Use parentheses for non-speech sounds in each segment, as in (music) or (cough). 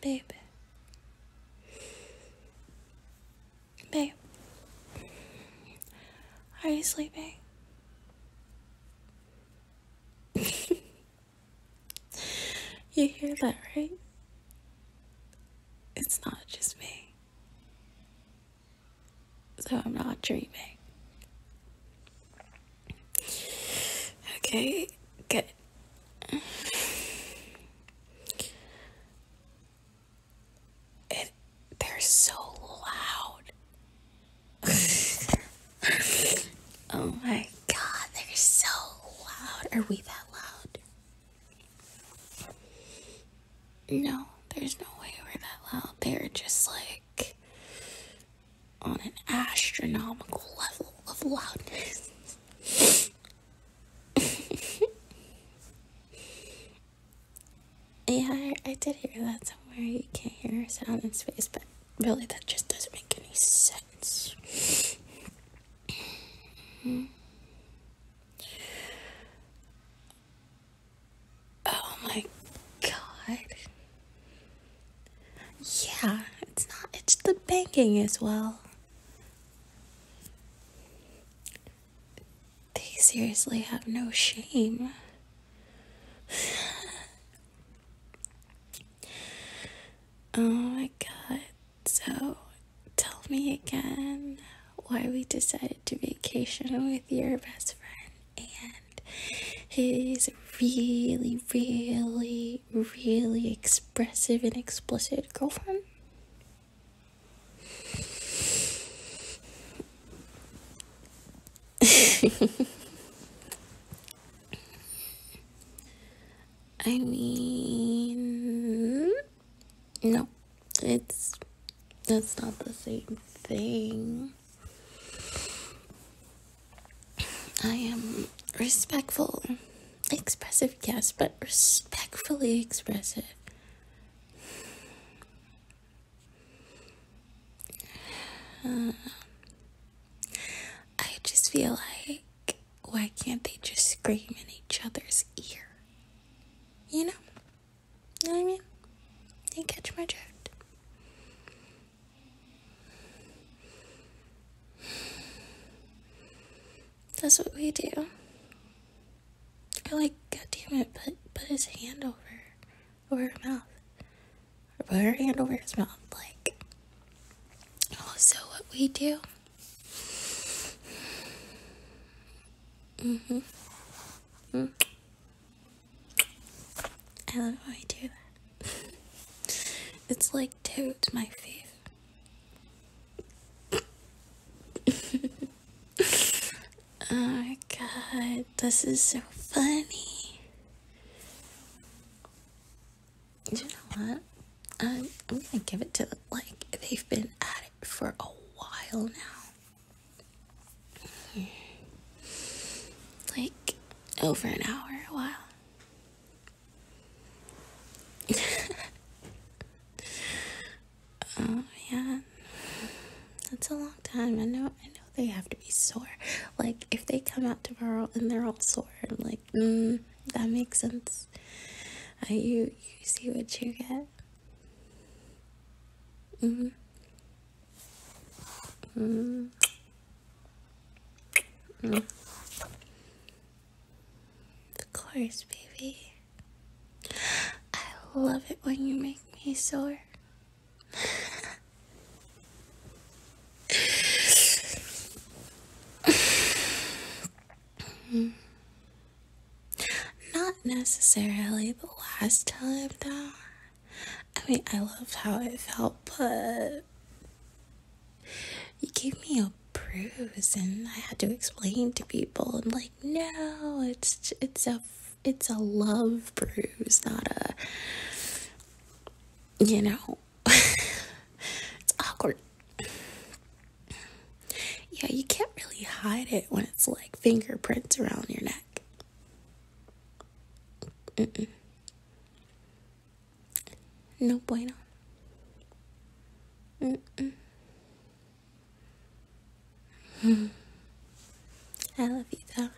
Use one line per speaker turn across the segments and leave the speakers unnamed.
Babe. Babe. Are you sleeping? (laughs) you hear that, right? It's not just me. So I'm not dreaming. Okay, good. It, they're so loud. (laughs) oh my god, they're so loud. Are we that loud? No, there's no way we're that loud. They're just like on an astronomical level of loudness. (laughs) yeah, I, did hear that somewhere. You can't hear sound in space, but really, that just doesn't make any sense. Oh my god. Yeah, it's not, it's the banking as well. They seriously have no shame. (sighs) oh my god. So, tell me again why we decided to vacation with your best friend and he's really, really, really expressive and explicit girlfriend. (laughs) I mean, no, it's that's not the same thing. I am respectful, expressive, yes, but respectfully expressive. Uh, I just feel like, why can't they just scream in each other's ear? You know? You know what I mean? You catch my drift. That's what we do. I like, god damn it, put, put his hand over, over her mouth. put her hand over his mouth. Like, also what we do. Mm-hmm. Mm. I love how I do that. (laughs) it's like dude, my feet. (laughs) oh god, this is so funny. You know what? I'm, I'm gonna give it to them. Like, they've been at it for a while now. Like over an hour, a while. (laughs) oh man. That's a long time. I know I know they have to be sore. Like if they come out tomorrow and they're all sore, i like, mm, that makes sense. Uh, you you see what you get. Mm-hmm. Mm. Of course, baby. I love it when you make me sore. mm. (laughs) Not necessarily, the last time though, I mean, I loved how it felt, but you gave me a bruise, and I had to explain to people. i like, no, it's it's a it's a love bruise, not a you know, (laughs) it's awkward. Yeah, you can't really hide it when it's like fingerprints around your neck. No bueno. I love you though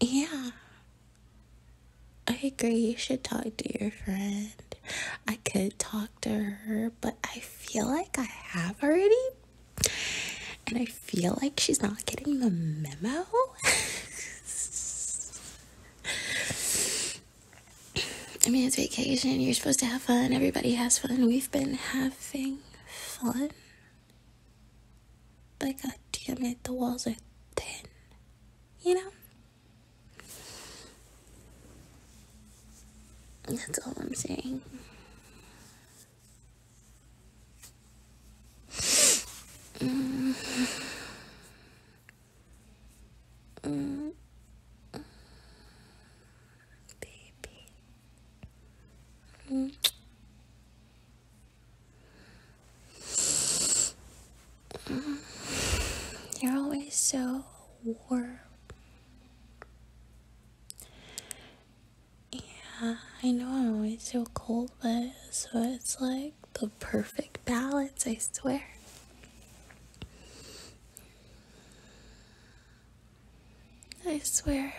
yeah. I agree. You should talk to your friend. I could talk to her, but I feel like I have already. And I feel like she's not getting the memo. (laughs) I mean, it's vacation. You're supposed to have fun. Everybody has fun. We've been having fun. But god damn it, the walls are thin. You know? That's all I'm saying. Mm. Mm baby. Mm. You're always so warm. Yeah, I know I'm always so cold, but so it's like the perfect balance, I swear. I swear.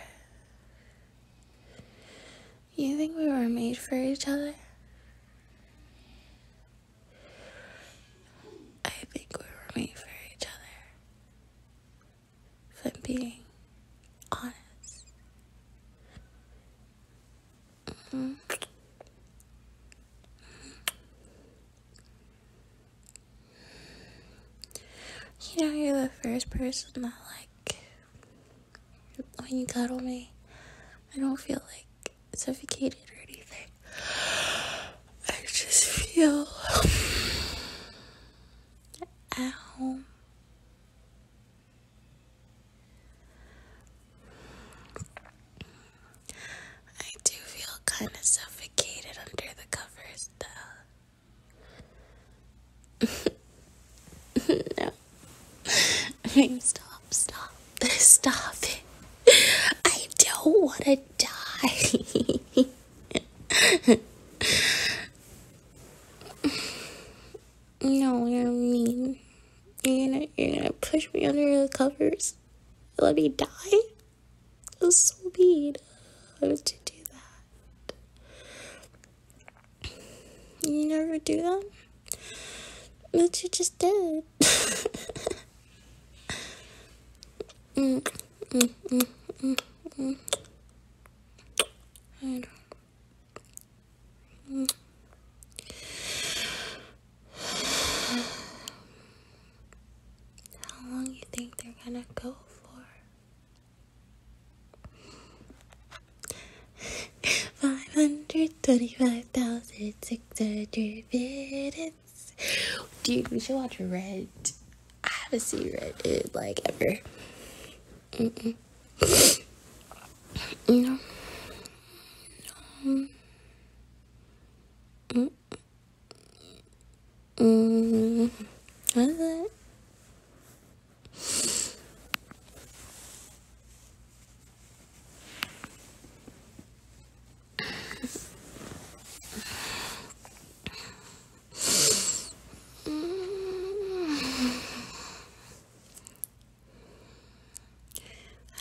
You think we were made for each other? I think we were made for each other. If being honest. Mm-hmm. You know, you're the first person that, like, when you cuddle me, I don't feel like suffocated or anything. I just feel at home. I do feel kind of suffocated under the covers no. stop, stop, stop it. I don't want to die. no, you mean. You're gonna, you're gonna push me under the covers? Let me die? so mean to do that. You never do that? But you just did. (laughs) I don't. How long you think they're gonna go for? Five hundred twenty-five thousand six hundred minutes. Dude, we should watch Red. I haven't seen Red in like ever. no. No. Mm Mm, what is it?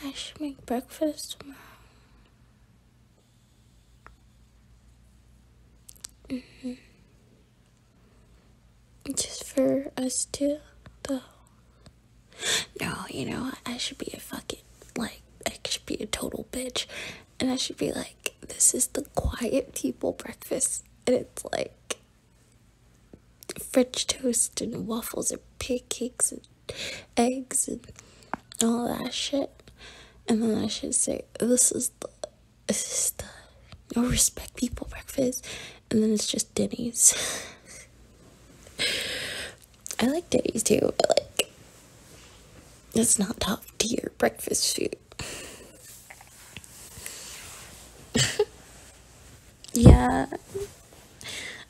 I should make breakfast tomorrow. Mm-hmm. Just for us two, though. No, you know, I should be a fucking, like, I should be a total bitch. And I should be like, this is the quiet people breakfast. And it's like French toast and waffles and pancakes and eggs and all that shit. And then I should say, this is the, this is the no respect people breakfast. And then it's just Denny's. (laughs) I like Denny's too, but like, it's not top tier breakfast food. (laughs) Yeah.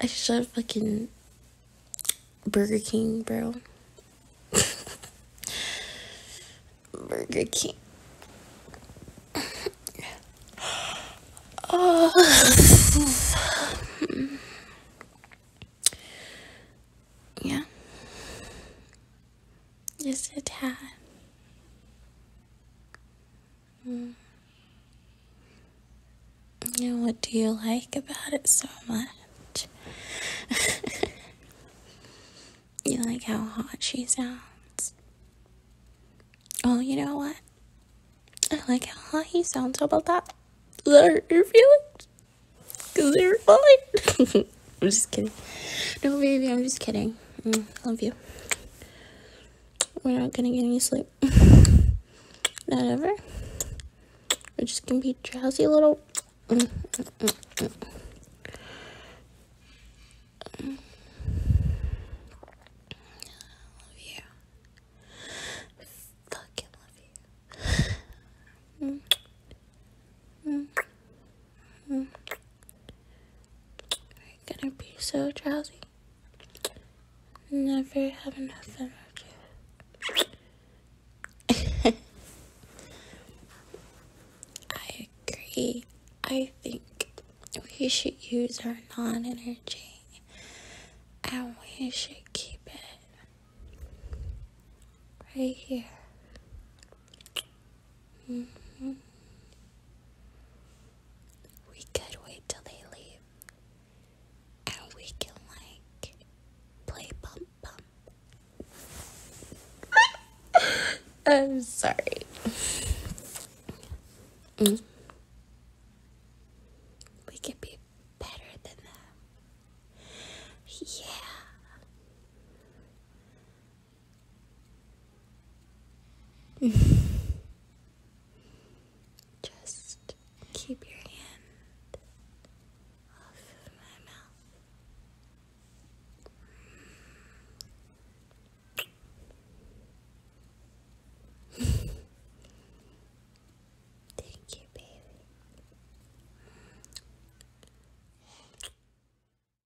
I should fucking Burger King, bro. (laughs) Burger King. (sighs) yeah. Yes, it had. Mm. You know, what do you like about it so much? (laughs) you like how hot she sounds? Oh, you know what? I like how hot he sounds. How about that? Is that hurt your feelings? Cause they're fine. (laughs) I'm just kidding. No, baby, I'm just kidding. I mm, love you we're not gonna get any sleep. (laughs) not ever. We're just gonna be drowsy little. Mm, mm, mm, so drowsy never have enough energy. (laughs) I agree. I think we should use our non energy and we should keep it right here. Mm-hmm. We could wait till they leave. And we can like play bump bump. (laughs) I'm sorry. Mm. We could be better than them. Yeah. (laughs) Just keep your hand off my mouth. (laughs) Thank you, baby.